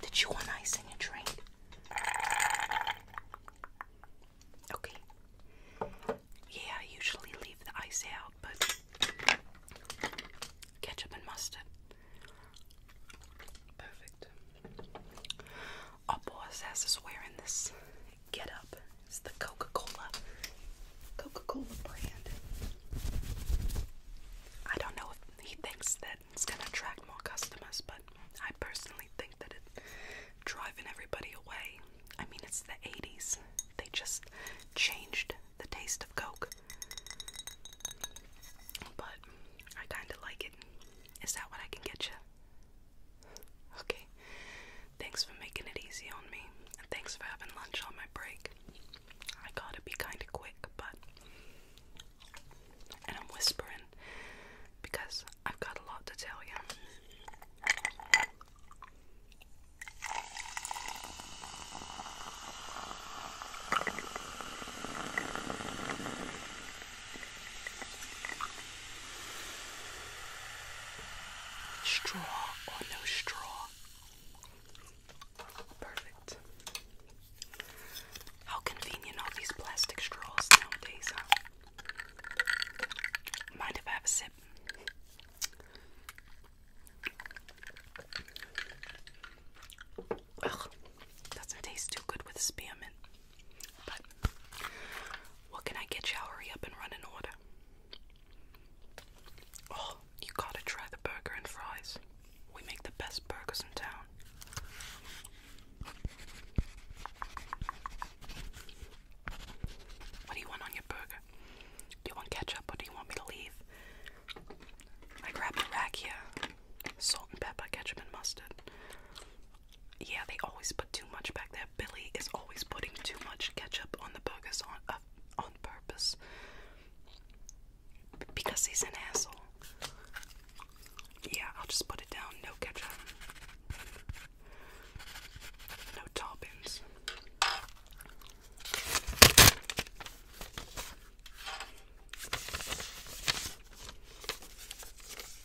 Did you want ice in your drink? Okay. Yeah, I usually leave the ice out, but ketchup and mustard. Perfect. Our boss has us wearing this Get Up. It's the Coca-Cola, Coca-Cola brand. I don't know if he thinks that it's gonna attract more customers, but I personally think that it's driving everybody away. I mean, it's the 80s. They just changed the taste of Coke. But I kinda like it. Is that what I can get you? Okay. Thanks for making it easy on me, and thanks for having lunch on my break. I gotta be kinda quick, but. And I'm whispering because I've got a lot to tell you. Straw or no straw? Perfect. How convenient all these plastic straws nowadays, huh? Mind if I have a sip? Ugh, doesn't taste too good with spearmint. But what can I get you? Hurry up and run an order. Oh, you gotta try the burger and fries. We make the best burgers in town. What do you want on your burger? Do you want ketchup or do you want me to leave? I grabbed a rack Salt and pepper, ketchup and mustard yeah, they always put too much back there. Billy is always putting too much ketchup on the burgers on uh, on purpose because he's an asshole. Yeah, I'll just put it down. No ketchup. No toppings.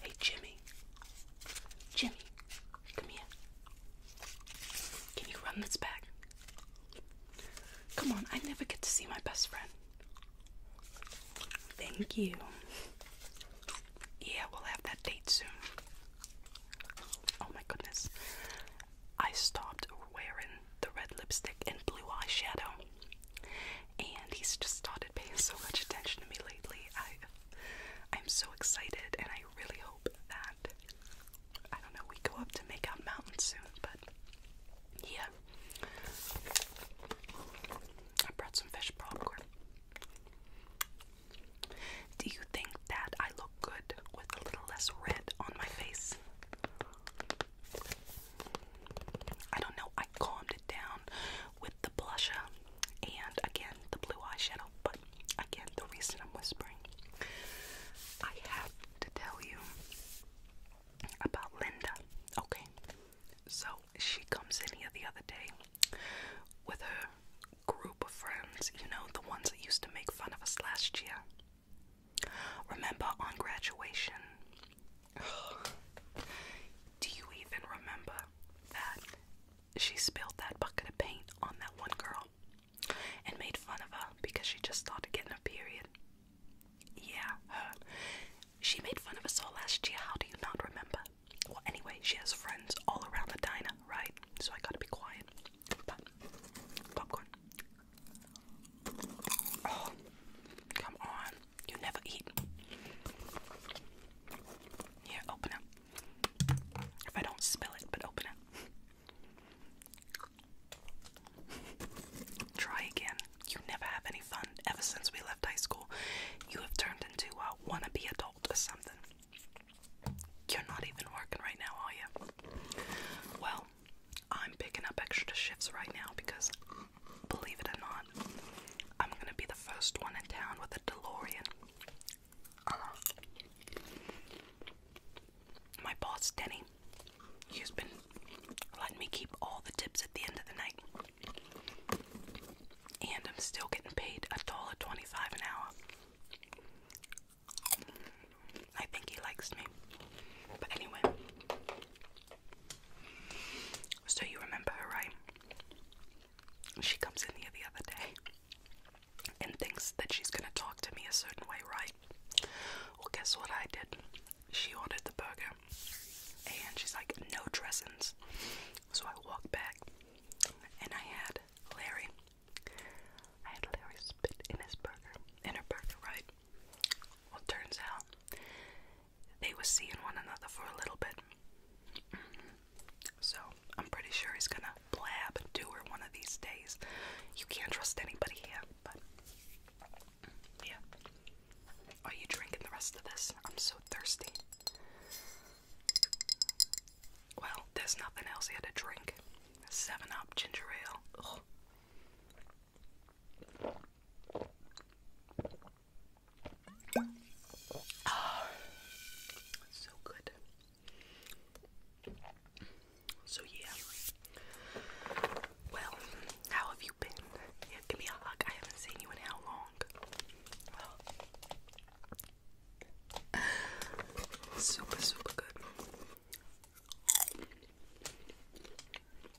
Hey Jimmy, Jimmy, come here. Can you run this back? Come on, I never get to see my best friend. Thank you. Yeah, we'll have that date soon. Oh my goodness. I stopped wearing the red lipstick and blue eyeshadow. And he's just started paying so much attention to me lately. I'm so excited, and I really hope that I don't know we go up to Makeout Mountain soon, but yeah, I brought some fish popcorn. Do you think that I look good with a little less red on my face? I don't know. I calmed it down the blusher and again the blue eyeshadow. But again, the reason I'm whispering, I have to tell you about Linda. Okay, so she comes in here the other day with her group of friends, you know, the ones that used to make fun of us last year. Remember on graduation? Do you even remember that? she spilled that bucket of paint on that one girl and made fun of her because she just started getting a period. Yeah, her. She made fun of us all last year. How do you not remember? Well, anyway, she has friends all around the diner, right? So I gotta be quiet. popcorn. Oh, come on. You never eat. Here, open up. If I don't smell it, but open it. Try again. You never have any fun ever since we left high school. You have turned into a wannabe adult or something. You're not even working right now, are you? Well, I'm picking up extra shifts right now because, believe it or not, I'm gonna be the first one in town with a DeLorean. Uh-huh. my boss, Denny, he's been letting me keep all the tips at the end of the night. And I'm still getting paid a dollar twenty-five an hour. I think he likes me. But anyway. So you remember her, right? She comes in here the other day and thinks that she's gonna talk to me a certain way, right? Well, guess what I did? She ordered the burger and she's like, no dressings. So I walked back and I had Larry. I had Larry spit in his burger, in her burger, right? Well, turns out they were seeing one another for a little bit. So I'm pretty sure he's gonna blab and do her one of these days. You can't trust anybody here, but yeah. Are you drinking the rest of this? I'm so thirsty. Well, there's nothing else here to drink. Seven Up ginger ale. Oh, so good. So yeah. Well, how have you been? Yeah, give me a hug. I haven't seen you in how long? Well, super, super good.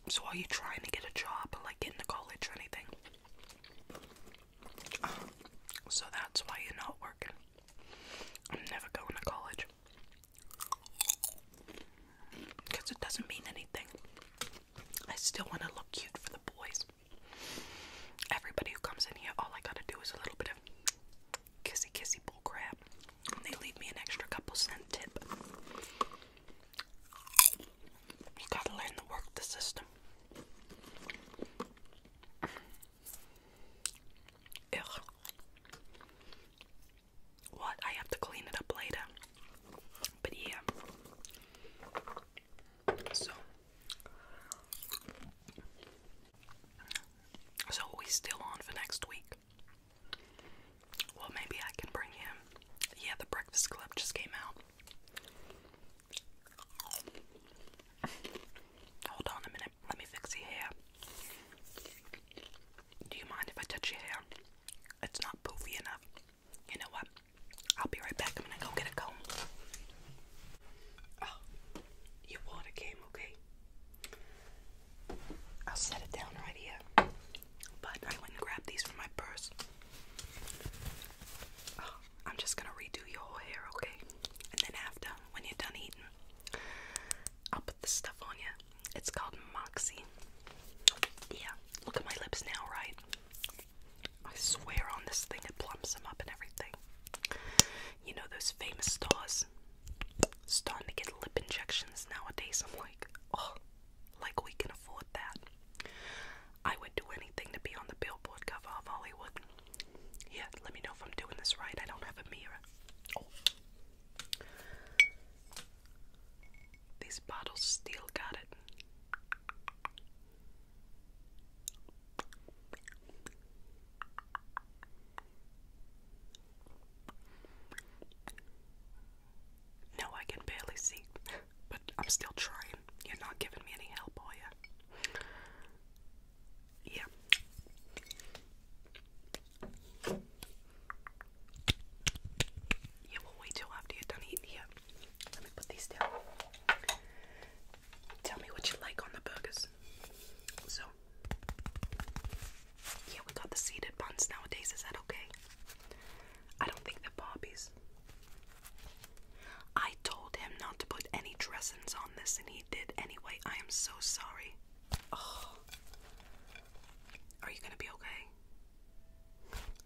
So are you trying to get a job like get into college or anything? so that's why you're not working. I'm never going to college. Because it doesn't mean anything. I still want to look cute for the boys. Everybody who comes in here, all I gotta do is a little bit of kissy kissy bull crap. And they leave me an extra couple cent tip. You gotta learn to work the system. Ugh. What? I have to clean it up later. But yeah. So. So we still on for next week. Well, maybe I can bring him. Yeah, the Breakfast Club just came out. Hold on a minute. Let me fix your hair. Do you mind if I touch your hair? It's not poofy enough. You know what? I'll be right back. I'm gonna go get a comb. Oh, your water came, okay? I'll set it down right here. But I went and grabbed these from my purse. Oh, I'm just gonna redo your hair, okay? And then after, when you're done eating. I'll put this stuff on you. It's called Moxie. Yeah, look at my lips now, right? I swear on this thing, it plumps them up and everything. You know those famous stars? Starting to get lip injections nowadays. I'm like, oh, like we can afford that. I would do anything to be on the billboard cover of Hollywood. Yeah, let me know if I'm doing this right. I don't have a mirror. Oh. These bottles still got it. No, I can barely see, but I'm still trying. You're not giving me any help, are you? Yeah. Yeah, we wait till after you're done eating here. Let me put these down. Tell me what you like on the burgers. So, yeah, we got the seeded buns nowadays. Is that okay? I don't think they're poppies. I told him not to put any dressings on this, and he did anyway. I am so sorry. Are you gonna be okay?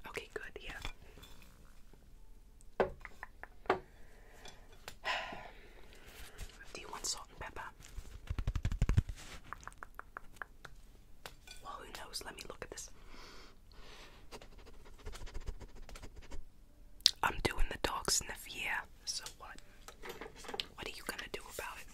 Okay, good, yeah. Do you want salt and pepper? Well, who knows? Let me look at this. I'm doing the dog sniff, yeah. So what? What are you gonna do about it?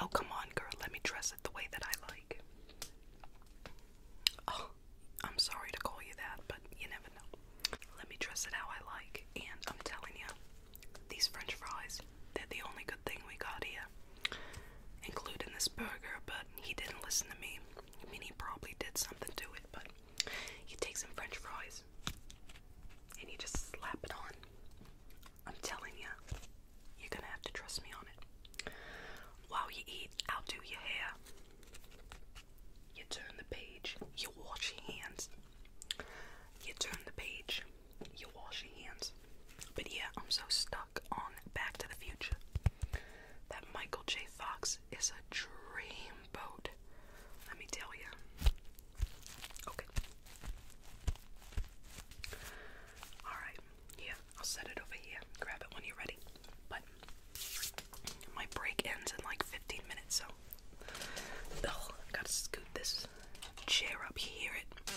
Oh, come on, girl. Let me dress it the way that I like. Oh, I'm sorry to call you that, but you never know. Let me dress it how I like, and I'm telling you, these French fries, they're the only good thing we got here. Including this burger, but he didn't listen to me. I mean, he probably did something to it, but he take some French fries and he just slap it on. I'm telling you, you're gonna have to trust me on it. While you eat, I'll do your hair. You turn the page, you wash your hands. You turn the page, you wash your hands. But yeah, I'm so stuck on Back to the Future. That Michael J. Fox is a dreamboat. Let me tell you. Okay. Alright, yeah, I'll set it over here. Grab it when you're ready. But my break ends in like 15 minutes, so ugh, gotta scoot this chair up here. It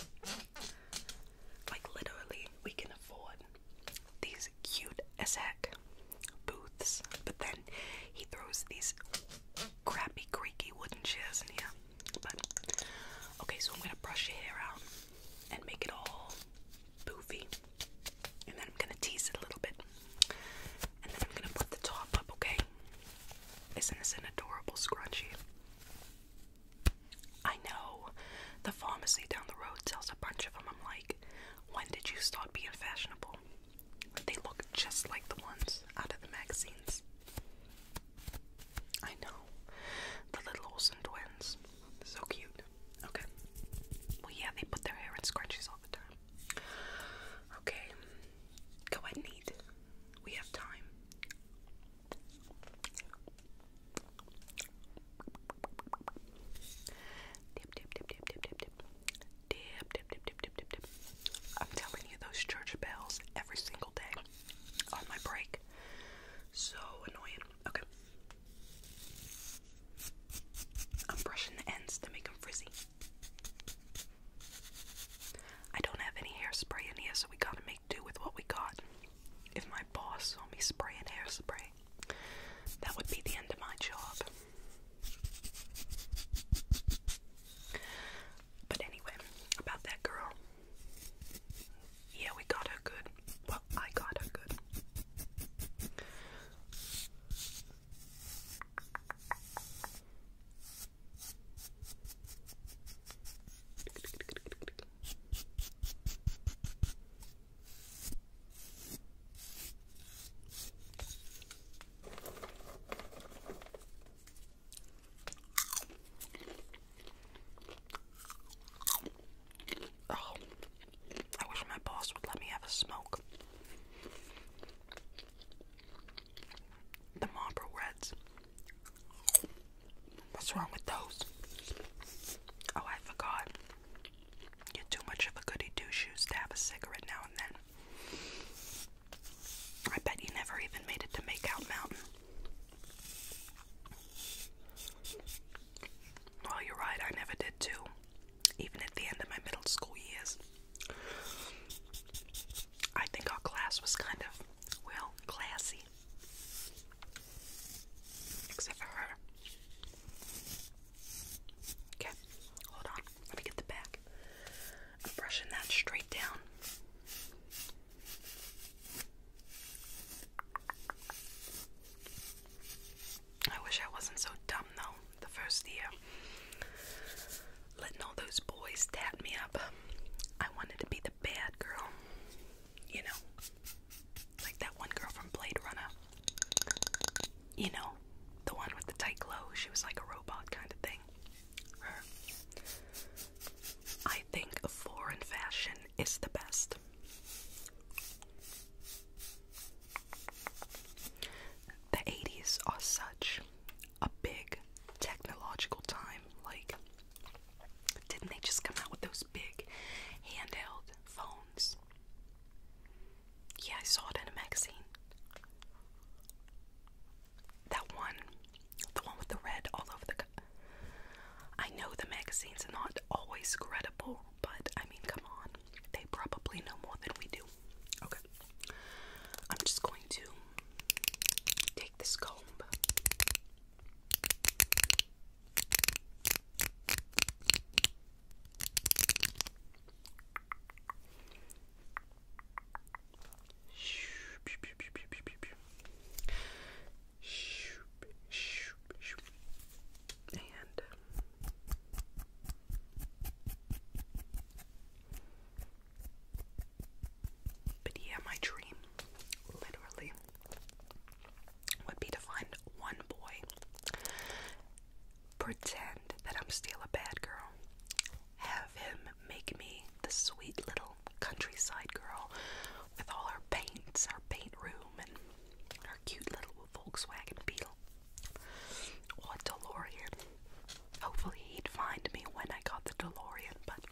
like literally we can afford these cute as booths, but then he throws these crappy creaky wooden chairs in here. But okay, so I'm gonna brush your hair out and make it all boofy. And then I'm going to tease it a little bit. And then I'm going to put the top up, okay? Isn't this an adorable scrunchie? I know. The pharmacy down the road sells a bunch of them. I'm like, when did you start being fashionable? They look just like the ones out of the magazines. I know. The little Olsen twins. So cute. Okay. Well, yeah, they put their hair in scrunchies all the time. Okay. Go ahead and We have time. Dip, dip, dip, dip, dip, dip, dip. Dip, dip, dip, dip, dip, dip, dip. I'm telling you, those church bells every single day on my break. So annoying. Okay. I'm brushing the ends to make them frizzy. I don't have any hairspray in here, so we gotta make do with what we got. If my boss saw me spraying hairspray, that would be the end of my job. But anyway, about that girl. Yeah, we got her good. Well, I got her good. Oh, I wish my boss would let me have a smoke. The Marlboro Reds. What's wrong with those? Oh, I forgot. You're too much of a goody two shoes to have a cigarette now and then. I bet you never even made it to Makeout Mountain. Well, you're right, I never did too. Even at the end of my middle school years. I think our class was kind of, well, classy. Except for her. Okay, hold on. Let me get the back. I'm brushing that straight down. I wish I wasn't so dumb though, the first year. Letting all those boys tat me up. I wanted to be the bad girl. You know, like that one girl from Blade Runner. You know, the one with the tight clothes, she was like a robot kind of thing. I think foreign fashion is the best. The 80s are such a big technological time. Like, didn't they just come out with those big handheld phones? Yeah, I saw it in a magazine. That one, the one with the red all over the I know the magazines are not always credible, but I mean, come on, they probably know more than we do. Okay, I'm just going to take this comb and um, but yeah, my dream literally would be to find one boy, pretend that I'm still a bad girl, have him make me the sweet little countryside girl with all our paints, our paint room, and our cute little Volkswagen Beetle. Or oh, DeLorean. Hopefully, he'd find me when I got the DeLorean, but.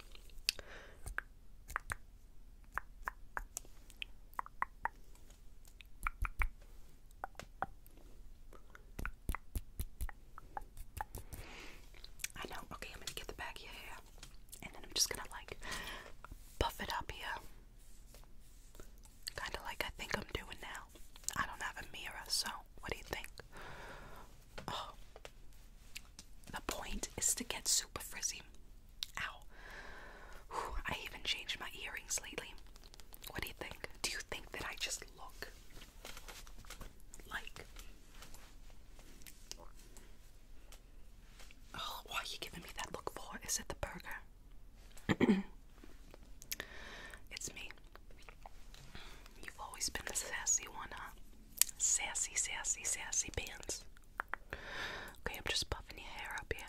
I know. Okay, I'm gonna get the back of and then I'm just gonna like buff it up here. Kind of like I think I'm doing now. I don't have a mirror, so what do you think? Oh. The point is to get super frizzy. Ow. Whew, I even changed my earrings lately. What do you think? Do you think that I just look like Oh, why are you giving me that look for? Is it the burger? it's me. You've always been the sassy one, huh? Sassy, sassy, sassy pants. Okay, I'm just puffing your hair up here.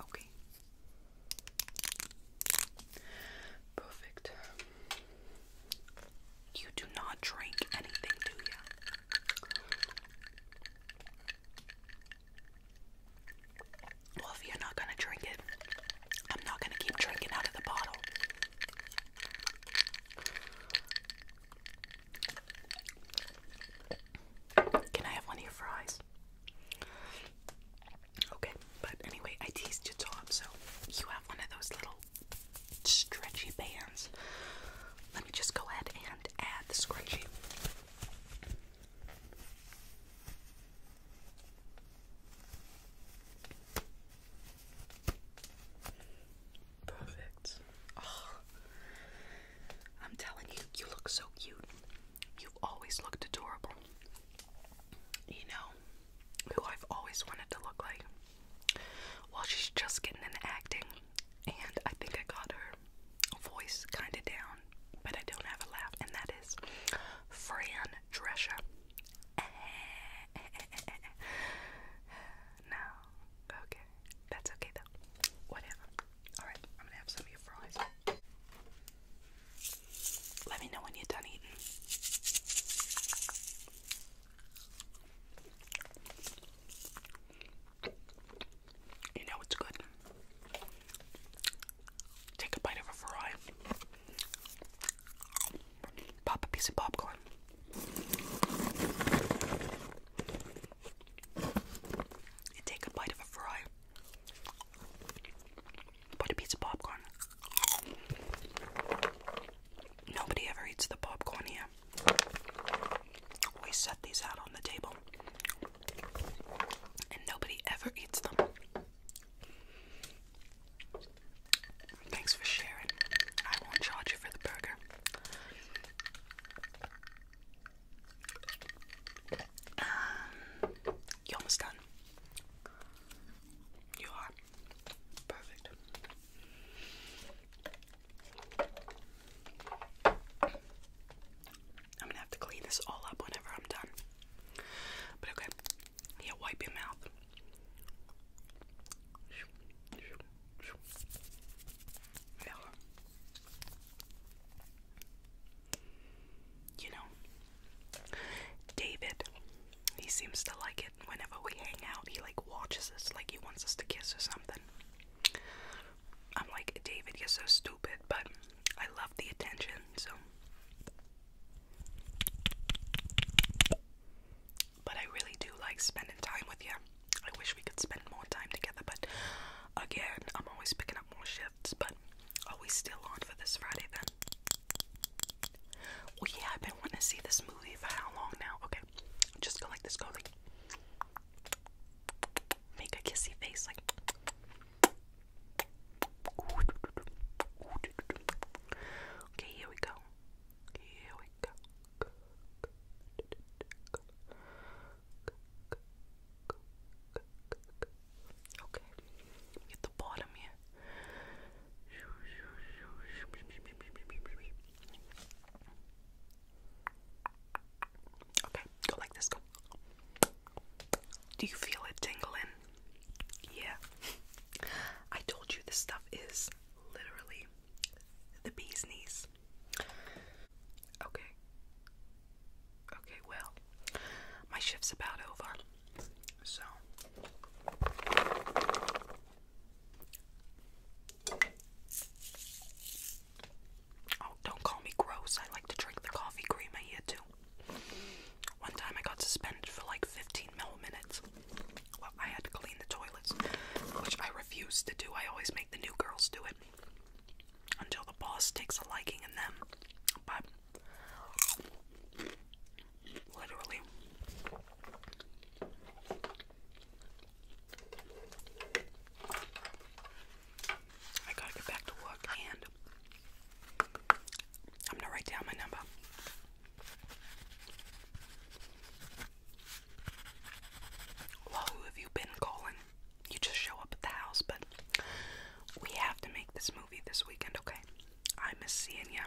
Okay. Perfect. You do not drink anything, do you? Well, if you're not gonna drink it, I'm not gonna keep drinking out of the bottle. Can I have one of your fries? Okay, but anyway, I teased your top, so you have one of those little stretchy bands. Let me just go ahead and add the scrunchie. Perfect. Oh, I'm telling you, you look so cute. You've always looked adorable. You know who I've always wanted to look like. Well, she's just getting into acting, and I think I got her voice kind of down, but I don't have a laugh, and that is Fran Drescher. no, okay, that's okay though. Whatever. All right, I'm gonna have some of your fries. Let me know when you're done eating. You know it's good. Take a bite of a fry. Pop a piece of popcorn. You take a bite of a fry. Put a piece of popcorn. Nobody ever eats the popcorn here. We set these out on the table and nobody ever eats them. Thanks for sharing. I won't charge you for the burger. Um, you're almost done. You are perfect. I'm gonna have to clean this all up whenever I'm done. But okay, yeah, wipe your mouth. Yeah. You know, David, he seems to like it whenever we hang out. He like watches us like he wants us to kiss or something. I'm like, David, you're so stupid, but I love the attention, so. But I really do like spending time with you. I wish we could spend more time together, but again, I'm always picking up more shifts. But are we still on for this Friday then? Well, yeah, I've been wanting to see this movie for how long now? Okay, just go like this, go make a kissy face like Okay, here we go. Here we go. Okay. Get the bottom here. Okay, go like this. Go. Do you feel it tingling? Yeah. I told you this stuff is literally the bee's knees. Okay. Okay, well, my shift's about over. So. Oh, don't call me gross. I like to drink the coffee cream I hear too. One time I got suspended for like 15 milliminutes. Well, I had to clean the toilets, which I refuse to do. I always make the new girls do it until the boss takes a liking in them. But literally, I gotta get back to work and I'm gonna write down my number. who have you been calling? You just show up at the house, but we have to make this movie this weekend, okay? I miss seeing you.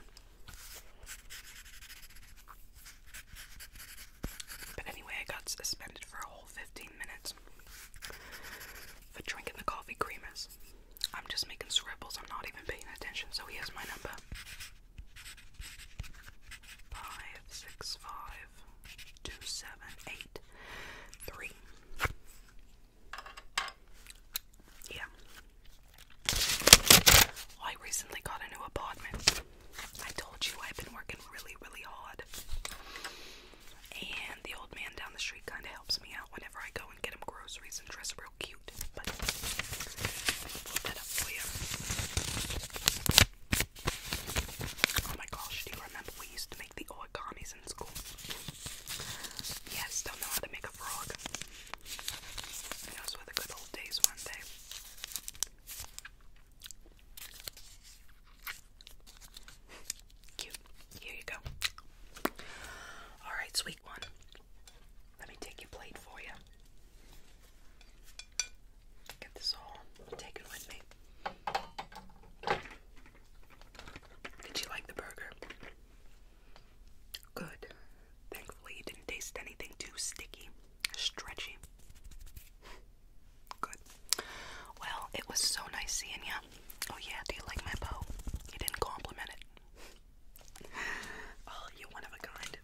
But anyway, I got suspended for a whole 15 minutes for drinking the coffee creamers. I'm just making scribbles, I'm not even paying attention, so here's my number. Five six five two seven eight three. Yeah. I recently got a new apartment. I told you I've been working really, really hard. And the old man down the street kind of helps me out whenever I go and get him groceries and dress real cute. But Oh my gosh, do you remember we used to make the origamis in school? Yes, don't know how to make a frog. Those were the good old days one eh? day. Cute. Here you go. Alright, sweet one. Let me take your plate for you. Get this all taken with me. Did you like the burger? Good. Thankfully, you didn't taste anything too sticky, stretchy. Good. Well, it was so nice seeing you. Oh yeah, do you like my bow? You didn't compliment it. Oh, you're one of a kind.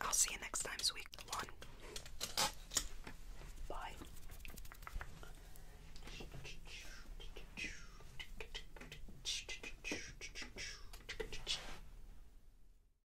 I'll see you next time, sweet one. Bye.